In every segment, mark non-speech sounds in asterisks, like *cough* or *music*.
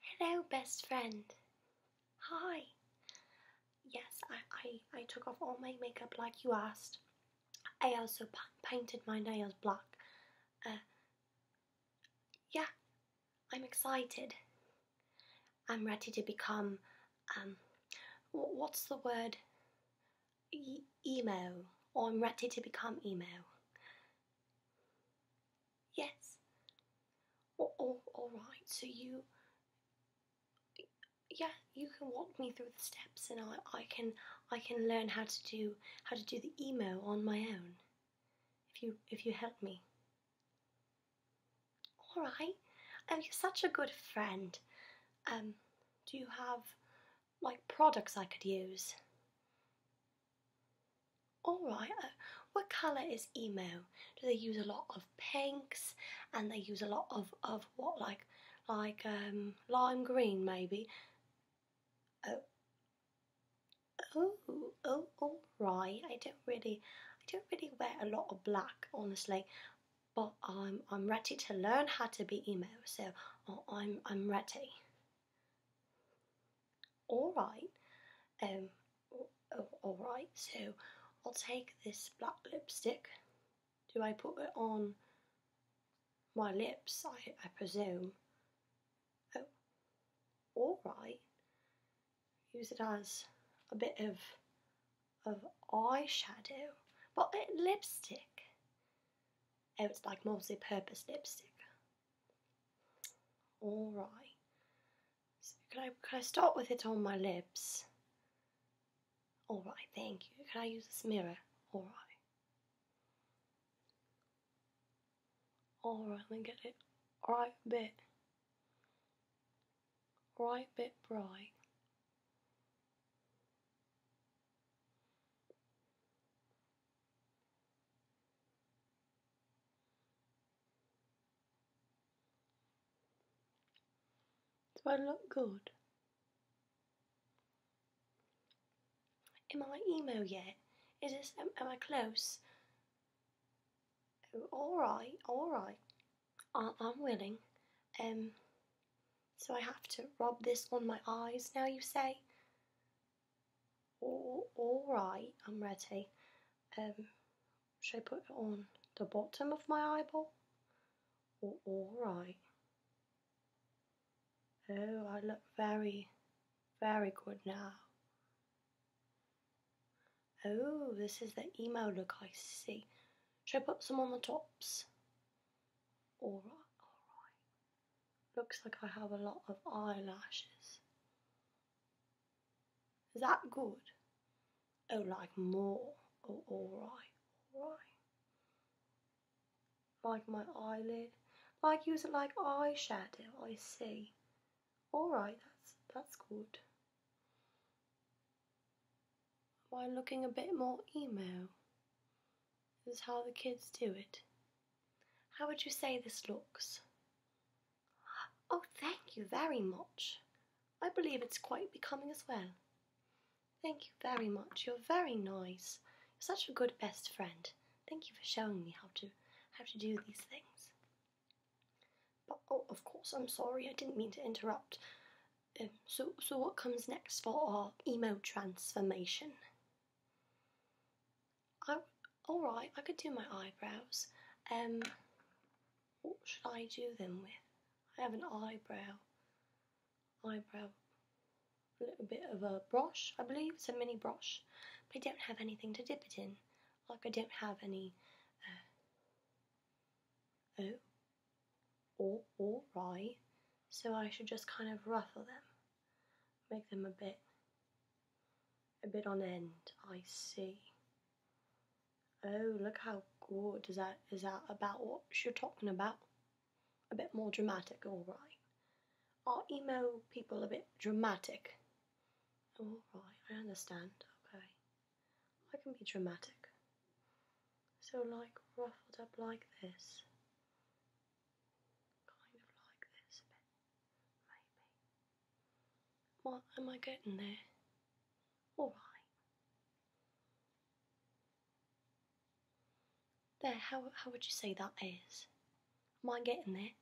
Hello, best friend. Hi. Yes, I, I, I took off all my makeup like you asked. I also painted my nails black. Uh, yeah, I'm excited. I'm ready to become, um, what's the word? E emo. Or oh, I'm ready to become emo. Yes. Well, all right. So you, yeah, you can walk me through the steps, and I, I can, I can learn how to do how to do the emo on my own. If you, if you help me. All right. Oh, you're such a good friend. Um, do you have like products I could use? Alright, uh, what colour is emo? Do they use a lot of pinks and they use a lot of, of what, like like um, lime green maybe? Oh, oh, oh, alright. I don't really, I don't really wear a lot of black, honestly. But I'm, I'm ready to learn how to be emo, so oh, I'm, I'm ready all right um all right so i'll take this black lipstick do i put it on my lips i, I presume oh all right use it as a bit of of shadow, but it, lipstick oh, it's like multi-purpose lipstick all right. So can I can I start with it on my lips? All right, thank you. Can I use this mirror? All right. All right, Let me get it right bit, right bit bright. Do I look good? Am I emo yet? Is this, am, I close? Oh, alright, alright. I'm willing. Um, so I have to rub this on my eyes now, you say? all right, I'm ready. Um, should I put it on the bottom of my eyeball? all right. Oh, I look very, very good now. Oh, this is the emo look I see. Should I put some on the tops? alright. Looks like I have a lot of eyelashes. Is That good? Oh, like more, or oh, alright, alright. Like my eyelid, like use it like shadow. I see. Alright, that's, that's good. By looking a bit more emo. is how the kids do it. How would you say this looks? Oh, thank you very much. I believe it's quite becoming as well. Thank you very much. You're very nice. You're such a good best friend. Thank you for showing me how to how to do these things. But oh, of course, I'm sorry. I didn't mean to interrupt. Um, so, so what comes next for our emo transformation? I all right. I could do my eyebrows. Um, what should I do them with? I have an eyebrow, eyebrow, a little bit of a brush, I believe. It's a mini brush, but I don't have anything to dip it in. Like I don't have any. Uh, oh, all, all right. So I should just kind of ruffle them, make them a bit a bit on end. I see. Oh, look how good. Is that, is that about what you're talking about? A bit more dramatic, alright. Are emo people a bit dramatic? Alright, I understand. Okay. I can be dramatic. So, like, ruffled up like this. Kind of like this a bit. Maybe. What am I getting there? All right. There, how, how would you say that is? Am I getting there?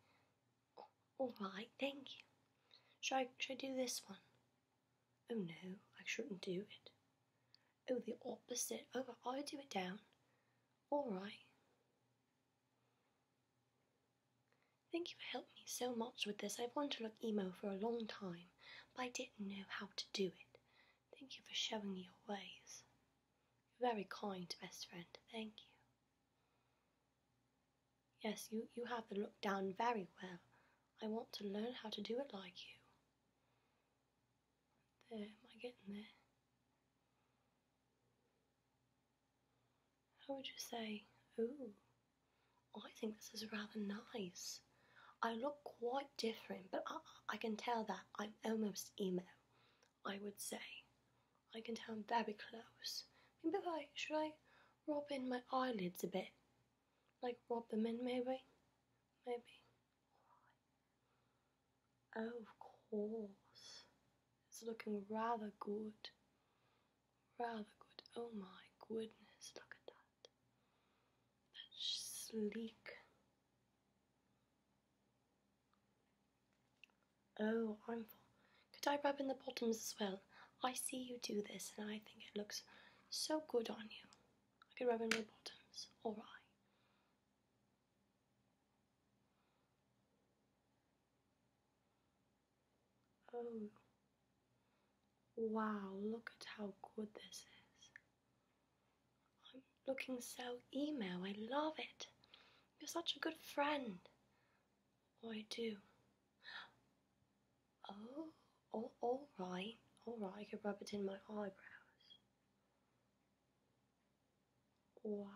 All right, thank you. Should I, should I do this one? Oh no, I shouldn't do it. Oh, the opposite. Oh, i do it down. All right. Thank you for helping me so much with this. I've wanted to look emo for a long time, but I didn't know how to do it. Thank you for showing me your ways. You're very kind, best friend. Thank you. Yes, you, you have the look down very well. I want to learn how to do it like you. There, am I getting there? How would you say, oh, I think this is rather nice. I look quite different, but I, I can tell that I'm almost emo, I would say. I can tell I'm very close. Maybe I, should I rub in my eyelids a bit? Like rub them in maybe? Maybe. Oh, of course. It's looking rather good. Rather good. Oh my goodness, look at that. That's sleek. Oh, I'm full. Could I rub in the bottoms as well? I see you do this and I think it looks so good on you. I could rub in the bottoms. Alright. Oh, wow, look at how good this is. I'm looking so emo, I love it. You're such a good friend. Oh, I do. Oh, all right, all right, I can rub it in my eyebrows. Wow.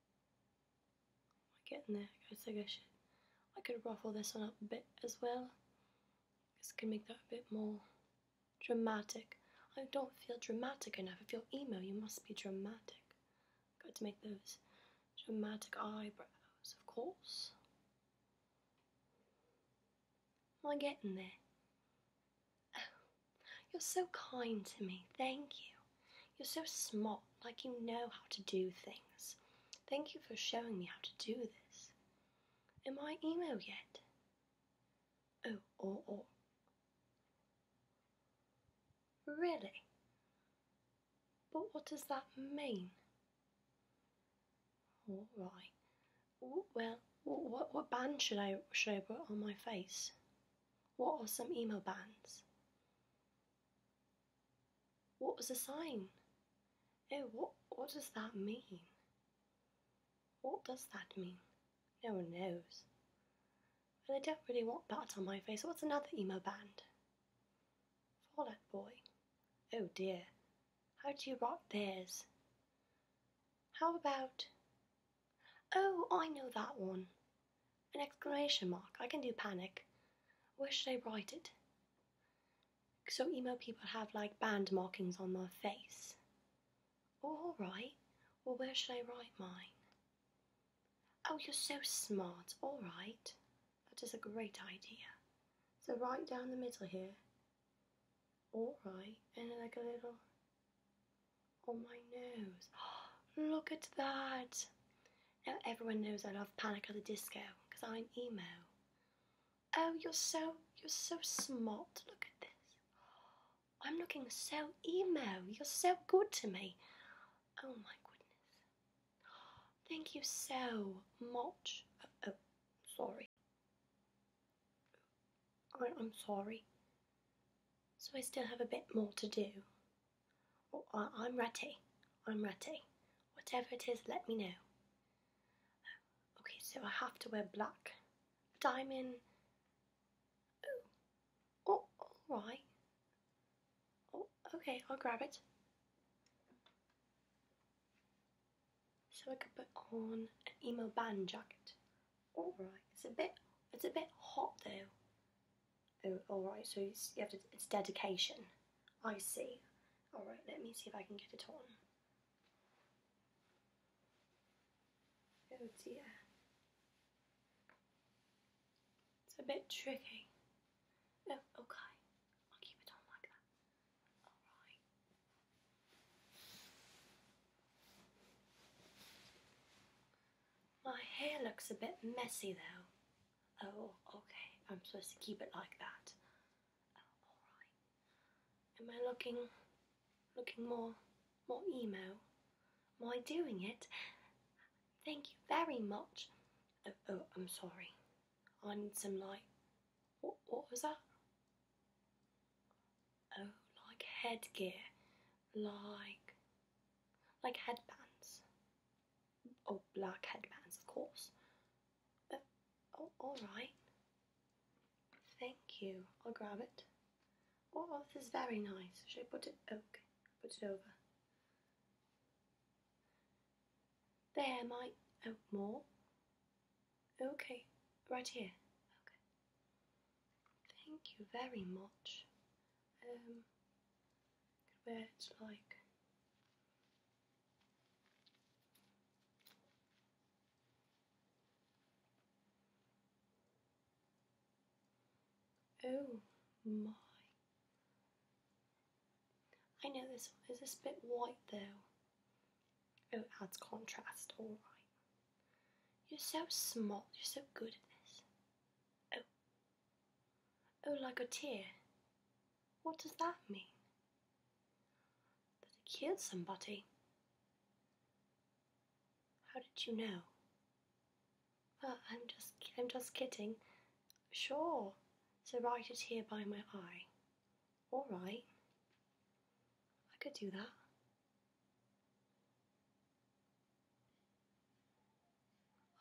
Am getting there? I think I should. I could ruffle this one up a bit as well. This can make that a bit more dramatic. I don't feel dramatic enough. If you're emo, you must be dramatic. Got to make those dramatic eyebrows, of course. Am I getting there? Oh, *sighs* you're so kind to me. Thank you. You're so smart, like you know how to do things. Thank you for showing me how to do this. Am my email yet? Oh, or, oh, or. Oh. Really? But what does that mean? All right. well, what, what, band should I should I put on my face? What are some emo bands? What was the sign? Oh, what, what does that mean? What does that mean? No one knows. Well, I don't really want that on my face. What's another emo band? Fall Out Boy. Oh dear. How do you rock theirs? How about... Oh, I know that one. An exclamation mark. I can do panic. Where should I write it? So emo people have like band markings on their face. alright. Well, where should I write mine? Oh, you're so smart. Alright. That is a great idea. So right down the middle here. Alright. And like a little on my nose. *gasps* Look at that. Now Everyone knows I love Panic at the Disco because I'm emo. Oh, you're so you're so smart. Look at this. I'm looking so emo. You're so good to me. Oh my goodness. Thank you so much. Uh, oh, sorry. I, I'm sorry. So I still have a bit more to do. Oh, I'm ready. I'm ready. Whatever it is, let me know. Okay, so I have to wear black. Diamond. Oh, oh all right. Oh, okay, I'll grab it. So I could put on an emo band jacket. All right, it's a bit, it's a bit hot though. Oh, alright, so you have to, it's dedication. I see. Alright, let me see if I can get it on. Oh dear. It's a bit tricky. Oh, okay. I'll keep it on like that. Alright. My hair looks a bit messy though. Oh, okay. I'm supposed to keep it like that. Oh, alright. Am I looking looking more more emo? Am I doing it? Thank you very much. Oh, oh I'm sorry. I need some light. What, what was that? Oh, like headgear. Like like headbands. Oh, black headbands, of course. Uh, oh, alright. Thank you. I'll grab it. Oh, this is very nice. Should I put it? Oh, okay, put it over. There, my. Oh, more? Okay, right here. Okay. Thank you very much. Um, where it's like Oh my. I know this one is a bit white though. Oh, it adds contrast, alright. You're so smart, you're so good at this. Oh, Oh, like a tear. What does that mean? That he killed somebody? How did you know? Well, I'm just, I'm just kidding. Sure. So write it here by my eye. All right. I could do that.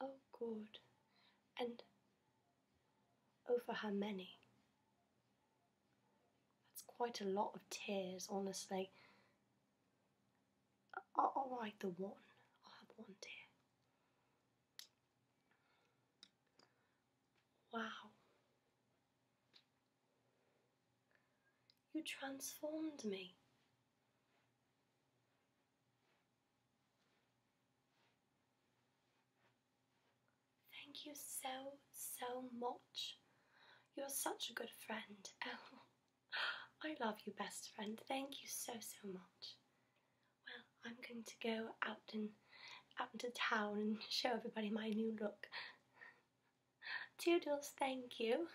Oh, God, And oh for how many? That's quite a lot of tears, honestly. I'll, write the one. i have one tear. Wow. You transformed me. Thank you so, so much. You're such a good friend. Oh, *laughs* I love you, best friend. Thank you so, so much. Well, I'm going to go out and out into town and *laughs* show everybody my new look. *laughs* Toodles, thank you.